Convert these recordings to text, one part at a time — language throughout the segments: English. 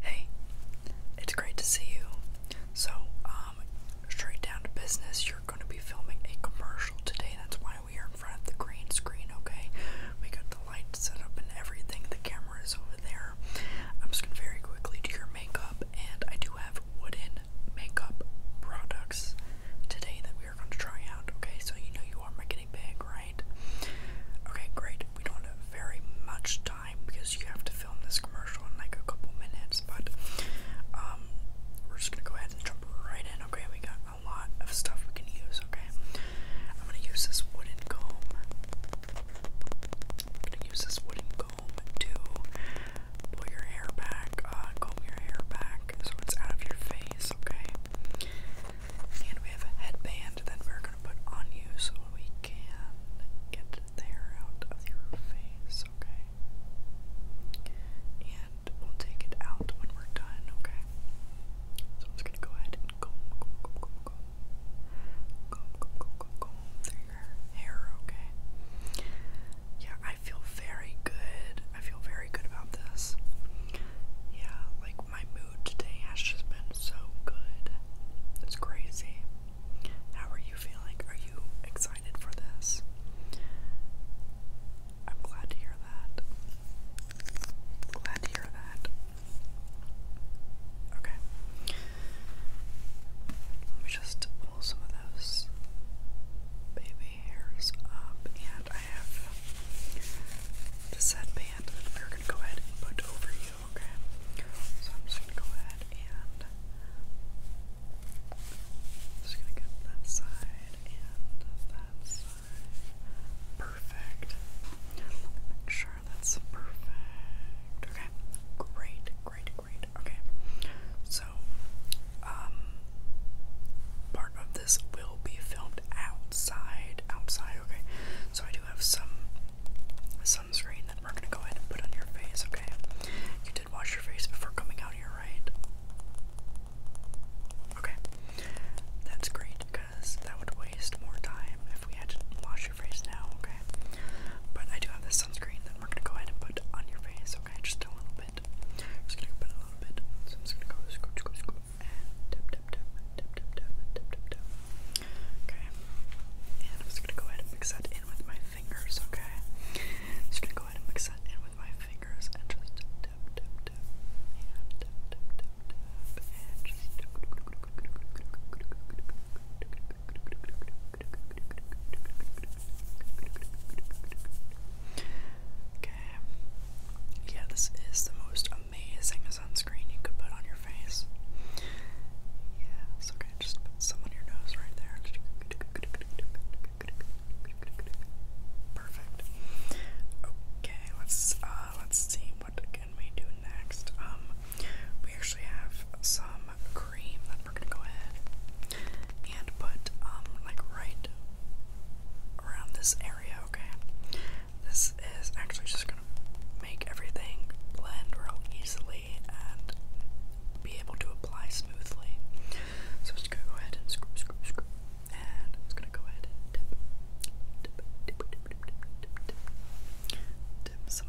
Hey, it's great to see you. So, um, straight down to business, you're going to be filming a commercial today. That's why we are in front of the green screen, okay? We got the light set up and everything. The camera is over there. I'm just going to very quickly do your makeup, and I do have wooden makeup products today that we are you're going to try out. Okay, so you know you are making a big, right? Okay, great. We don't have very much time because you have to film this commercial in like a couple minutes, but um, we're just gonna go ahead and jump right in. Okay, we got a lot of stuff we can use. Okay, I'm gonna use this wooden comb. I'm gonna use this wooden comb too pull your hair back, uh, comb your hair back so it's out of your face, okay? And we have a headband that we're gonna put on you so we can get the hair out of your face, okay? And we'll take it out when we're done, okay? So I'm just gonna go ahead comb, comb, comb, comb, comb, comb, comb, comb, comb, comb your hair, okay? yeah, I feel very good. I feel very good about this. Yeah, like my mood today has just been so good. It's crazy. How are you feeling? Are you excited for this? I'm glad to hear that. Glad to hear that. Okay. Let me just pull some of those baby hairs up, and I have the set band we're gonna go ahead and put over you, okay? So I'm just gonna go ahead and just gonna get that side and that side. Perfect. Make sure that's perfect. Okay. Great, great, Okay. So, um, part of this will be filmed outside. Outside, okay. So I do have some sunscreen that we're gonna go ahead and put on your face, okay? You did wash your face before coming out here, right? Okay. That's great because that would waste more time if we had to wash your face now, okay? But I do have this sunscreen that we're gonna go ahead and put on your face, okay, just a little bit. I'm just gonna put a little bit. So I'm just gonna go scoop, scoop, scoop, and tap, tap, tap, tap, tap, tap, tap, tap, tap. Okay, and I'm just gonna go ahead and mix that in with my fingers. Okay, I'm just gonna go ahead and mix that in with my fingers and just tap, tap, tap, and tap, tap, tap, tap, and just. Okay. Yeah, this is the most amazing sunscreen you could put on your face. Yes, okay, just put some on your nose right there. Perfect. Okay, let's uh let's see what can we do next. Um we actually have some cream we're gonna go ahead and put um like right around this area, okay? This is actually just gonna make everything blend real easily and be able to apply smoothly. So I'm just gonna go ahead and screw, screw, screw, and I'm just gonna go ahead and dip, dip, dip, dip, dip, dip, dip, dip, dip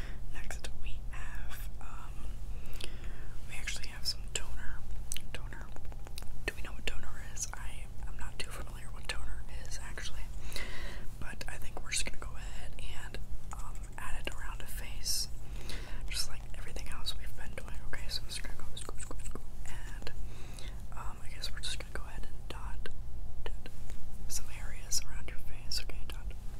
Next we have um we actually have some toner. Toner. Do we know what toner is? I I'm not too familiar with toner is actually. But I think we're just gonna go ahead and um add it around the face. Just like everything else we've been doing. Okay, so I'm just gonna go scoop and um I guess we're just gonna go ahead and dot, dot some areas around your face, okay, dot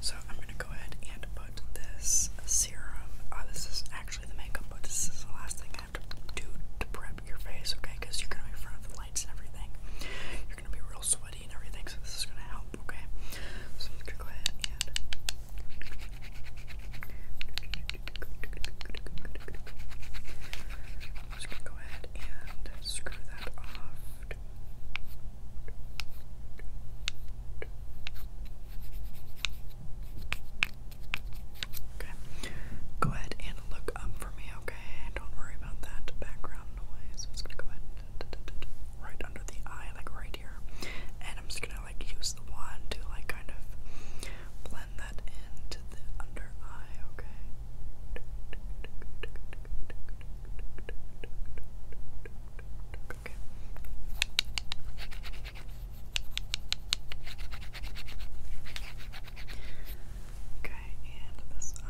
So I'm gonna go ahead and put this serum. Uh, this is actually the makeup, but this is the last thing I have to do to prep your face, okay? Because you're gonna be in front of the lights and everything. You're gonna be real sweaty and everything, so this is gonna help, okay? So I'm gonna go ahead and. go ahead and screw that off. Okay. Go ahead and look up for me, okay? Don't worry about that background noise. I'm just gonna go ahead and right under the eye, like right here. And I'm just gonna like use the wand to like kind of blend that into the under eye, okay? Okay. and this eye.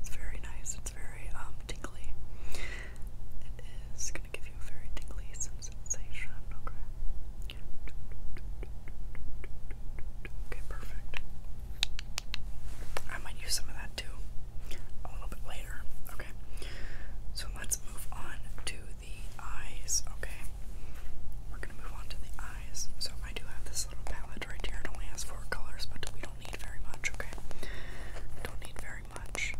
It's very nice. It's very um tingly. It is gonna give you a very tingly sensation. Okay. Okay, perfect. I might use some of that too a little bit later. Okay, so let's move on to the eyes. Okay, we're gonna move on to the eyes. So I do have this little palette right here. It only has four colors, but we don't need very much. Okay, don't need very much.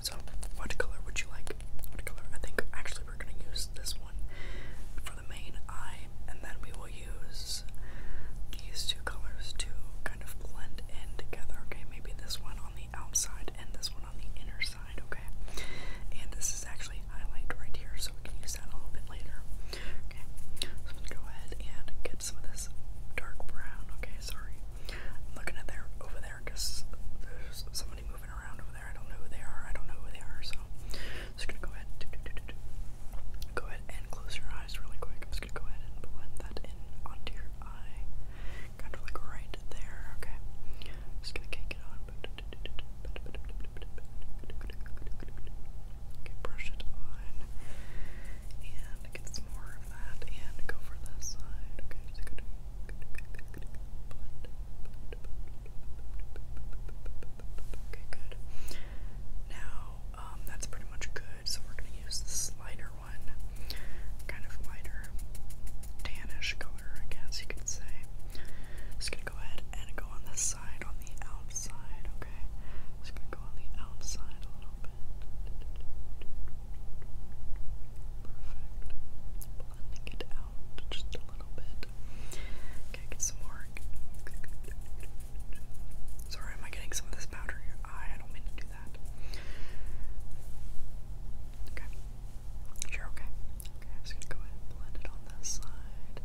So, what color would you like? What color? I think actually we're gonna use this one for the main eye, and then we will use these two colors to kind of blend in together. Okay, maybe this one on the outside and this one on the inner side. Okay, and this is actually highlight right here, so we can use that a little bit later. Okay, I'm gonna go ahead and get some of this dark brown. Okay, sorry. I'm looking at there over there because there's somebody moving around over there. I don't know who they are. I don't know who they are. So just gonna go ahead. Go ahead and close your eyes really quick. I'm just gonna go ahead and blend that in onto your eye, kind of like right there. Okay. just gonna cake it on. brush it on and get some more and go for this side. Okay, just gonna Okay, good. Now, um, that's pretty much good. So we're gonna use this lighter one, kind of lighter, tannish color, I guess you could say. Just gonna go ahead and go on this side, on the outside. Okay, just gonna go on the outside a little bit. Perfect. Blending it out just a little bit. Okay, get some more. Sorry, am I getting some of this powder in your eye? I don't mean to do that. Okay. Sure, okay. Okay, I'm just gonna go ahead and blend it on this side.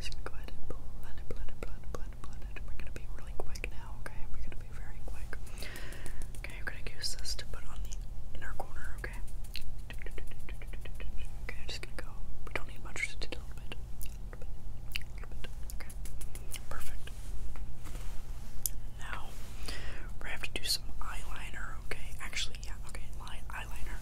just gonna go ahead and blend it, blend it, blend it, blend it. We're gonna be really quick now okay? We're gonna be very quick. Okay, I'm gonna use this to put on the inner corner, okay? Okay, I'm just gonna go. We don't need much, just a little bit. A little bit. A little bit. Okay. Perfect. Now, we're gonna have to do some eyeliner, okay? Actually, yeah, okay, eyeliner.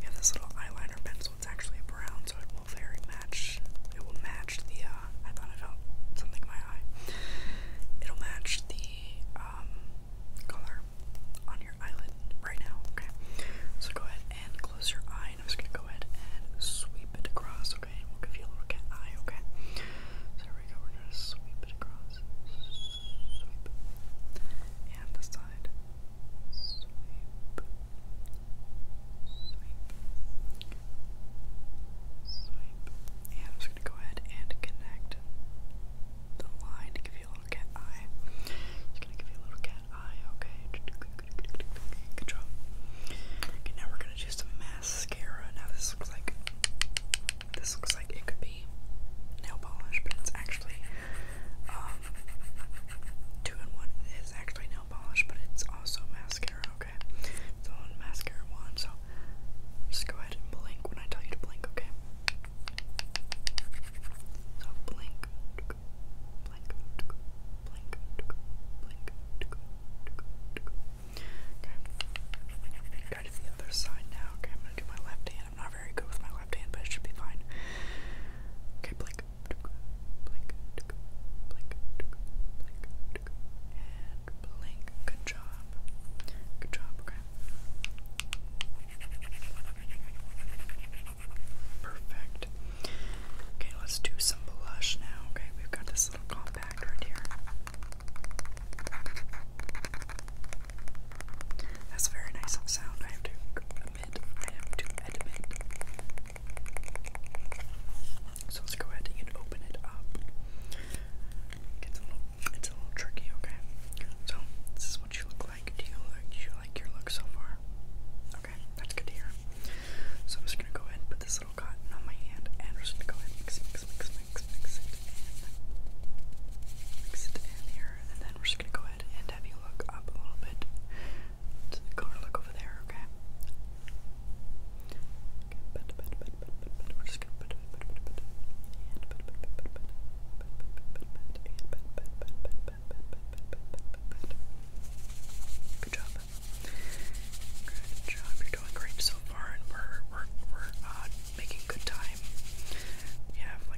We have this little eyeliner pencil one's actually brown, so it will very match. It will match the. Uh, I thought I felt something in my eye. It'll match the um, color on your eyelid right now. Okay, so go ahead and close your eye, and I'm just gonna go ahead and sweep it across. Okay, and we'll give you a little cat eye. Okay, so there we go. We're gonna sweep it across. Sweep. And the side. Sweep. Swipe. And I'm just going to go ahead and connect the line to give you a little cat eye. It's going to give you a little cat eye, okay? Good Okay, now we're going to do some mascara. Now this looks like this looks like it could be nail polish, but it's actually um, two in one. It's actually nail polish, but it's also mascara, okay? It's all mascara wand, so just go ahead and blink when I tell you to blink, okay? So blink, blink, blink, blink, blink, okay? Go to the other side now, okay? I'm gonna do my left hand. I'm not very good with my left hand, but it should be fine. Okay, blink blink, blink, blink, and blink. Good job. Good job, Perfect. Okay, let's do some blush now. Okay, we've got this little compact right here. That's very nice sound. I have to so let's go ahead and open it up. It's a little, tricky, okay? So this is what you look like. Do you like, your look so far? Okay, that's good to So I'm just gonna go ahead and put this little cotton on my hand, and we're just gonna go ahead and mix, mix, mix, mix, mix it in, mix it in here, and then we're just gonna go ahead and have you look up a little bit. It's garlic over there, okay? Okay, we're just gonna Good job. Good job. You're doing great so far, and we're we're we're uh making good time. We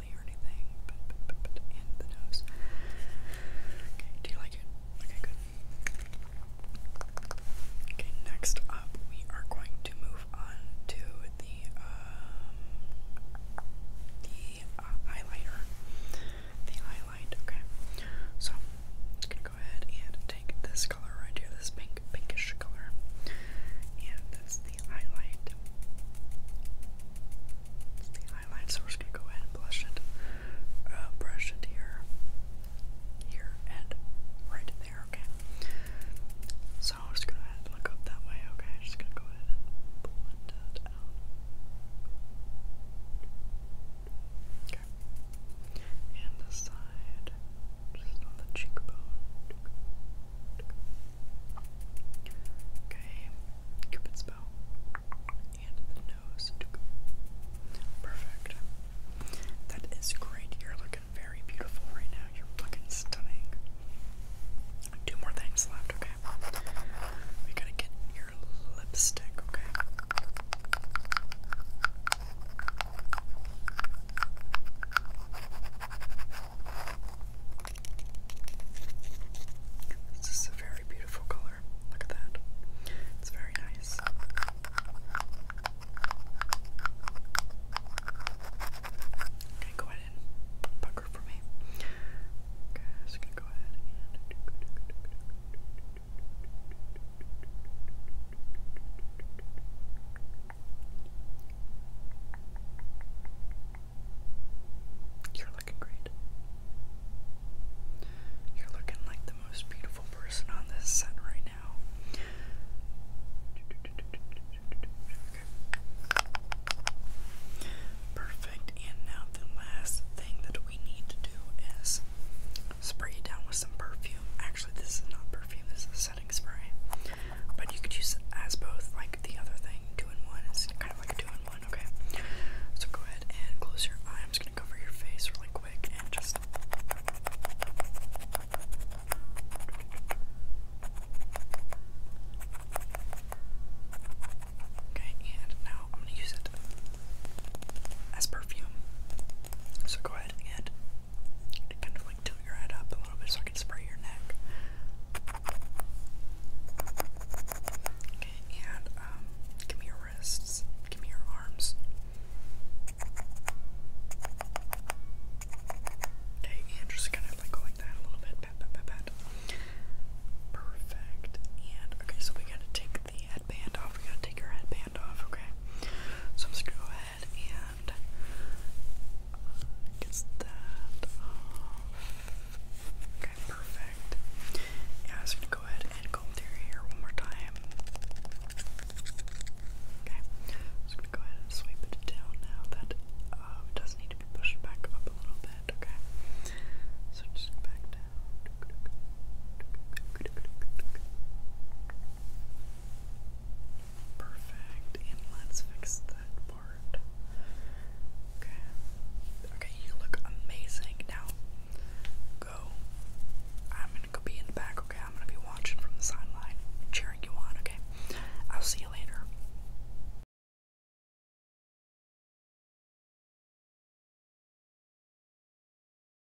do you like it? Okay, good. Okay, next up, we are going to move on to the um, the highlighter. Uh, the highlight. Okay, so I'm gonna go ahead and take this color right here, this pink pinkish color, and this the highlight. the highlight, so we're just gonna go ahead and blush it, uh, brush it here, here, and right there. Okay. So I'm just gonna go ahead and look up that way. Okay, I'm just gonna go ahead and blend it Okay. And the side just on the cheekbone. Okay, Cupid's bow. And the nose. Perfect. That is great. You're looking very beautiful right now. You're looking stunning. Two more things left, okay? We gotta get your lipstick, okay? This is a very beautiful color. Look at that. It's very nice. Okay, go ahead and pucker for me. Okay, so gonna go ahead and you're looking great. You're looking like the most beautiful person on this set right now. Perfect. And now the last thing that we need to do is spray it down with some perfume. Actually, this is not perfume. This is spray. But you could use as both, like the other thing, two one. It's kind of like a two in one, okay? So go ahead and close your eye. I'm just gonna cover your face really quick and just. Okay, and now I'm gonna use it as perfume. So go ahead and kind of like tilt your head up a little bit so I can spray your neck. Okay, and um, give me your wrists, give me your arms. Okay, and just kind of like go like that a little bit. Perfect. And okay, so we gotta take the headband off. We gotta take your headband okay? So I'm just gonna go ahead and get that off. Okay, perfect. Yeah, I'm gonna go ahead and comb through your hair one more time. Okay, I'm just gonna go ahead and sweep it down now. That uh, does need to be pushed back up a little bit, okay? So just back down. Perfect. And let's fix that part. Okay. Okay, you look amazing. Now, go. I'm gonna go be in the back, okay? I'm gonna be watching from the sideline, cheering you on, okay? I'll see you later.